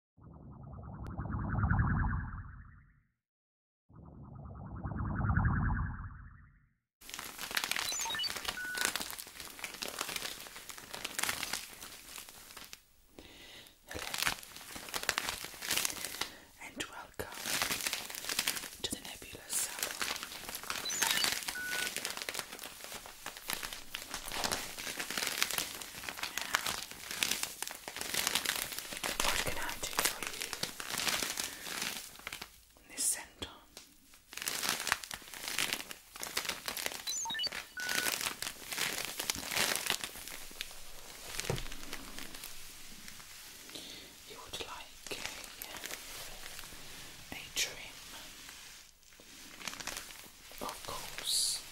Hello and welcome to the Nebula Salon. Now, what can I do for you in this You would like a, a trim. Of course.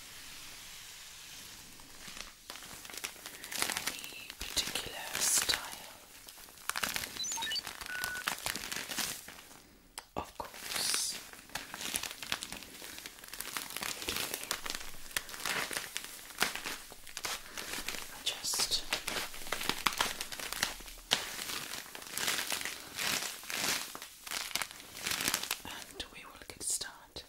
Any particular style? Of course. just and we will get started.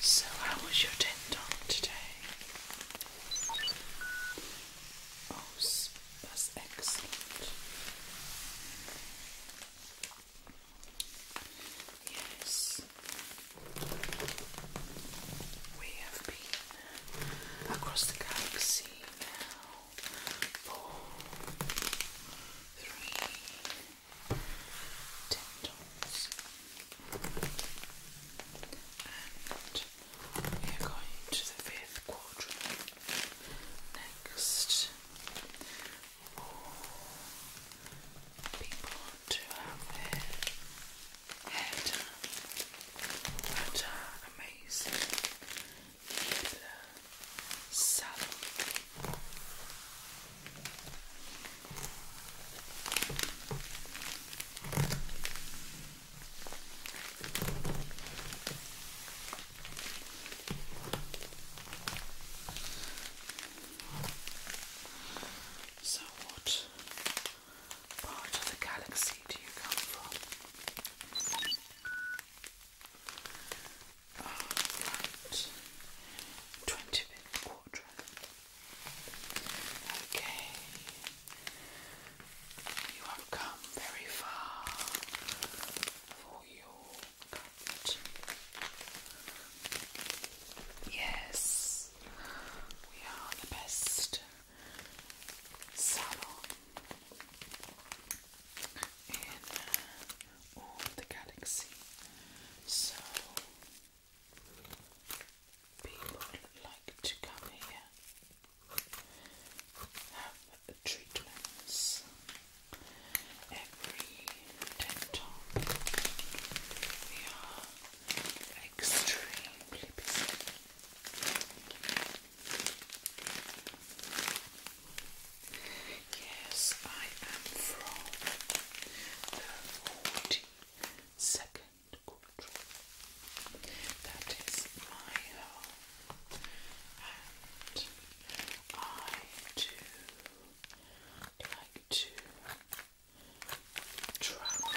So, how was your tendon today? Oh, that's excellent. Yes, we have been across the galaxy now for and we are going to the fifth quadrant next for people to have their hair done. What uh, amazing little so, what part of the galaxy do you come from? Alright, ah, 20 quadrant. Okay, you have come very far for your Yes, we are the best salon in uh, all the galaxy. So people like to come here, have treatments every dental. We are extremely busy. Yes, I am from the forty second quarter. That is my home and I do like to travel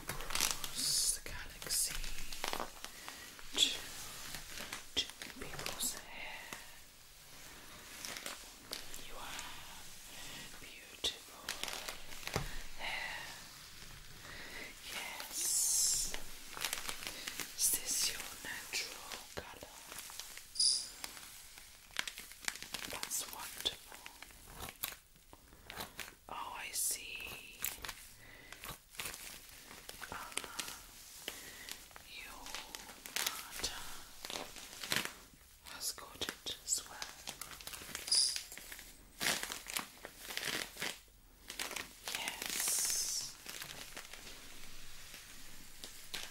across the galaxy to, people's hair. You have beautiful hair. Yes. Is this your natural colour? That's wonderful. Oh, I see. Uh, your mother has got it as well. Yes.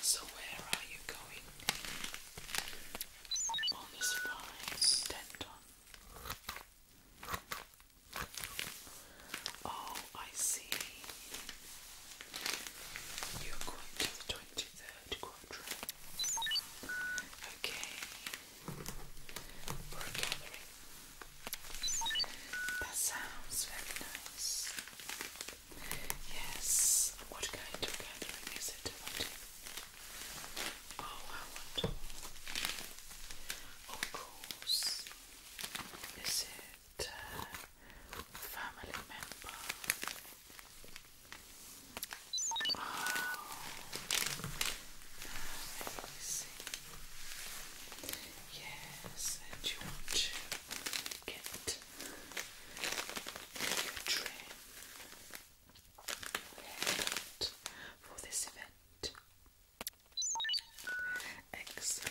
So where are you going on this fine denton? Oh, I see. You're going to the twenty-third quadrant. Okay, we're gathering that sounds very nice. Yes, what kind of gathering is it? Oh, how wonderful. Of course. Is it uh, family member? Oh, amazing. Yes, and you want to get your for this event. Excellent.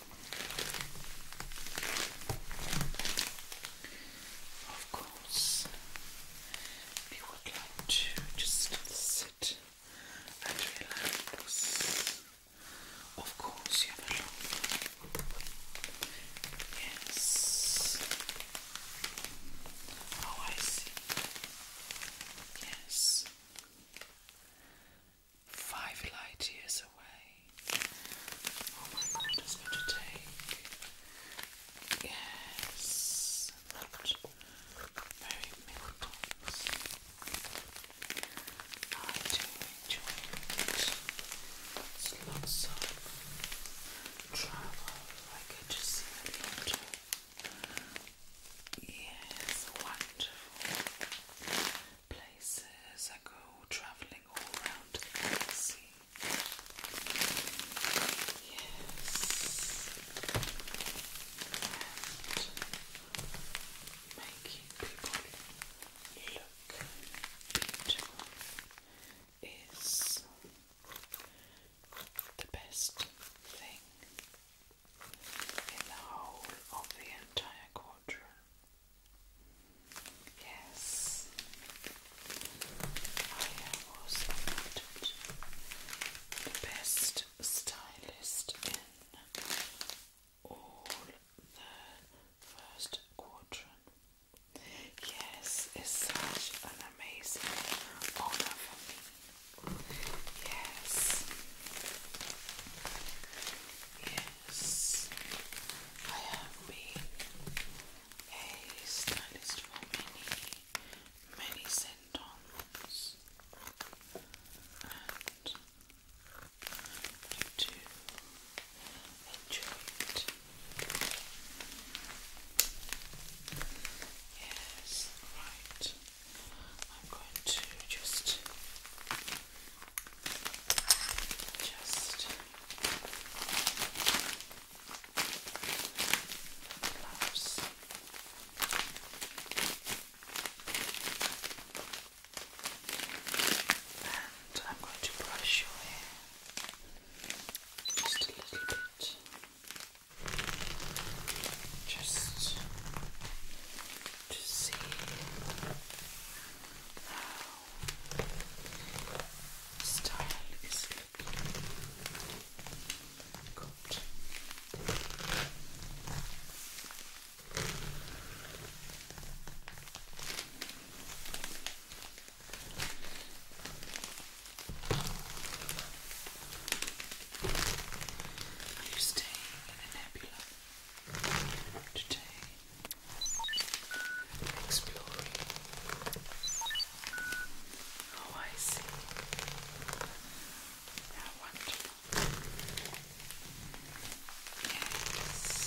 Of course, we would like to just sit and relax. Of course, you have Yes. Oh, I see. Yes. Five light years away. Oh my god, it's going to take. Yes, very many I do enjoy it. It's lots of travel. I get to see the water. Yes, wonderful places. I go travelling all around the galaxy. Yes. And making people look beautiful is the best thing in the whole of the entire quadrant. Yes, I was the best stylist in all the first quadrant. Yes, it's such an amazing honor for me. yes yes, I have been a stylist for many, many centons and I do enjoy it. Yes, right. I'm going to just just gloves. And I'm going to brush your hair just a little bit. Just to see style is lovely. Good. Are you staying in a nebula today? exploring. Oh, I see. How wonderful. Yes.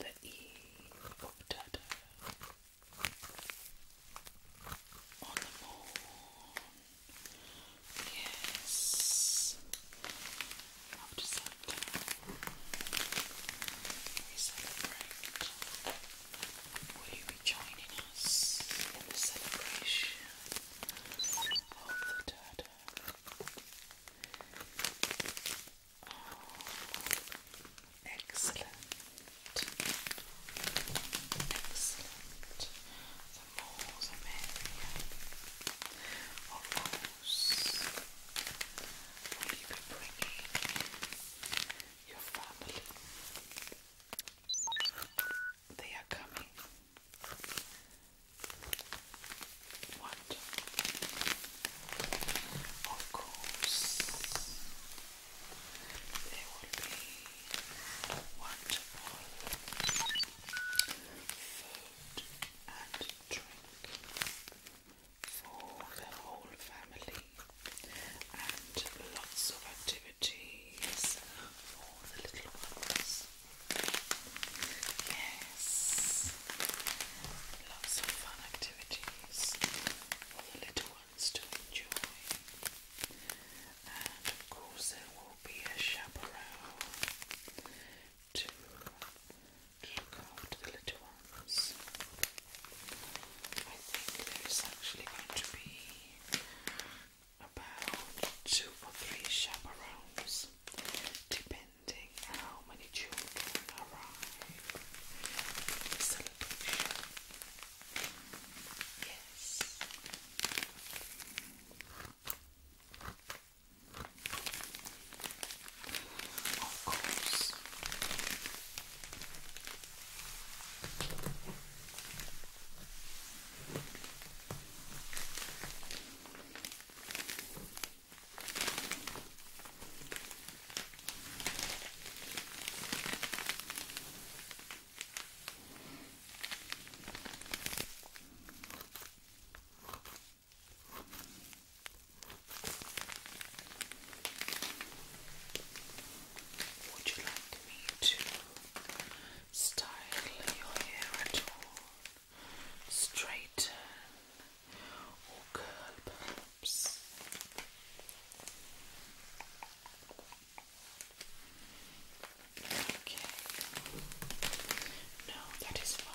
the E octata on the morn. Yes, after sundown, we celebrate. Will you be joining us in the celebration of the Dada? Oh, excellent. Excellent. The more the merrier. Of course, will you be bringing your family? They are coming. What? Of course, there will be wonderful food and drink for the whole family and lots of activities for the little ones. Yes. Lots of fun activities for the little ones to enjoy. And of course there will be a chaperone to look after the little ones. I think there is actually going to be about two or three chaperones, depending depending how many children arrive celebration. Yes. Of course. Would you like me to style your hair at all? straighten or curl Okay. No, that is fine.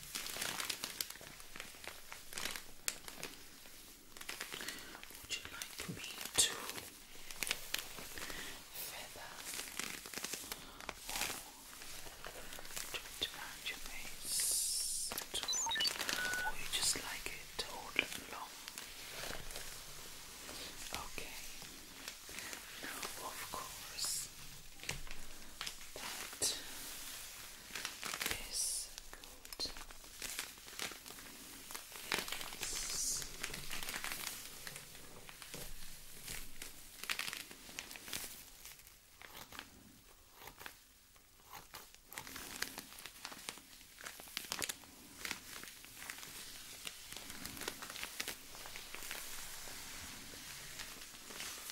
Would you like me to feather or around your face Or you just like it all long? Okay. of course, that is good. Yes. Okay.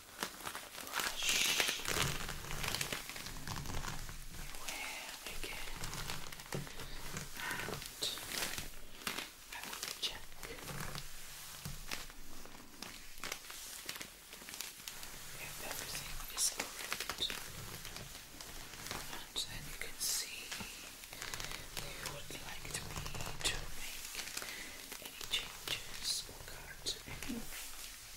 brush we can and I will check if everything is correct and then you can see you would like me to make any changes or cut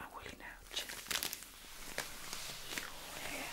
I will now check your hair.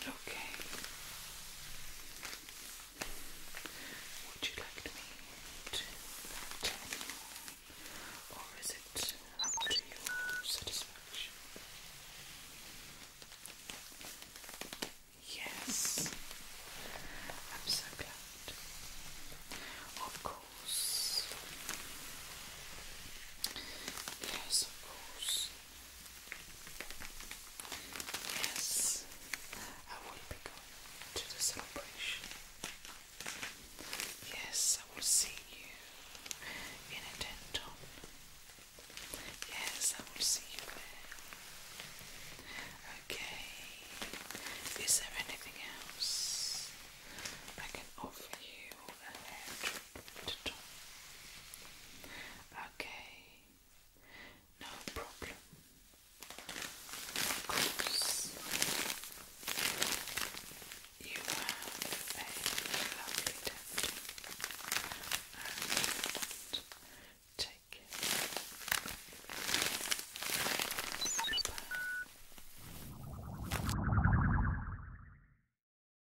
Okay. Would you like me to tell you, or is it up to your satisfaction? Yes, I'm so glad. Of course. Yes, of course. Yes, I will be going to the celebration. Yes, I will see you in a denton. Yes, I will see you there. Okay, is there anything else I can offer you Okay, no problem. Of you have a lovely tattoo and take it.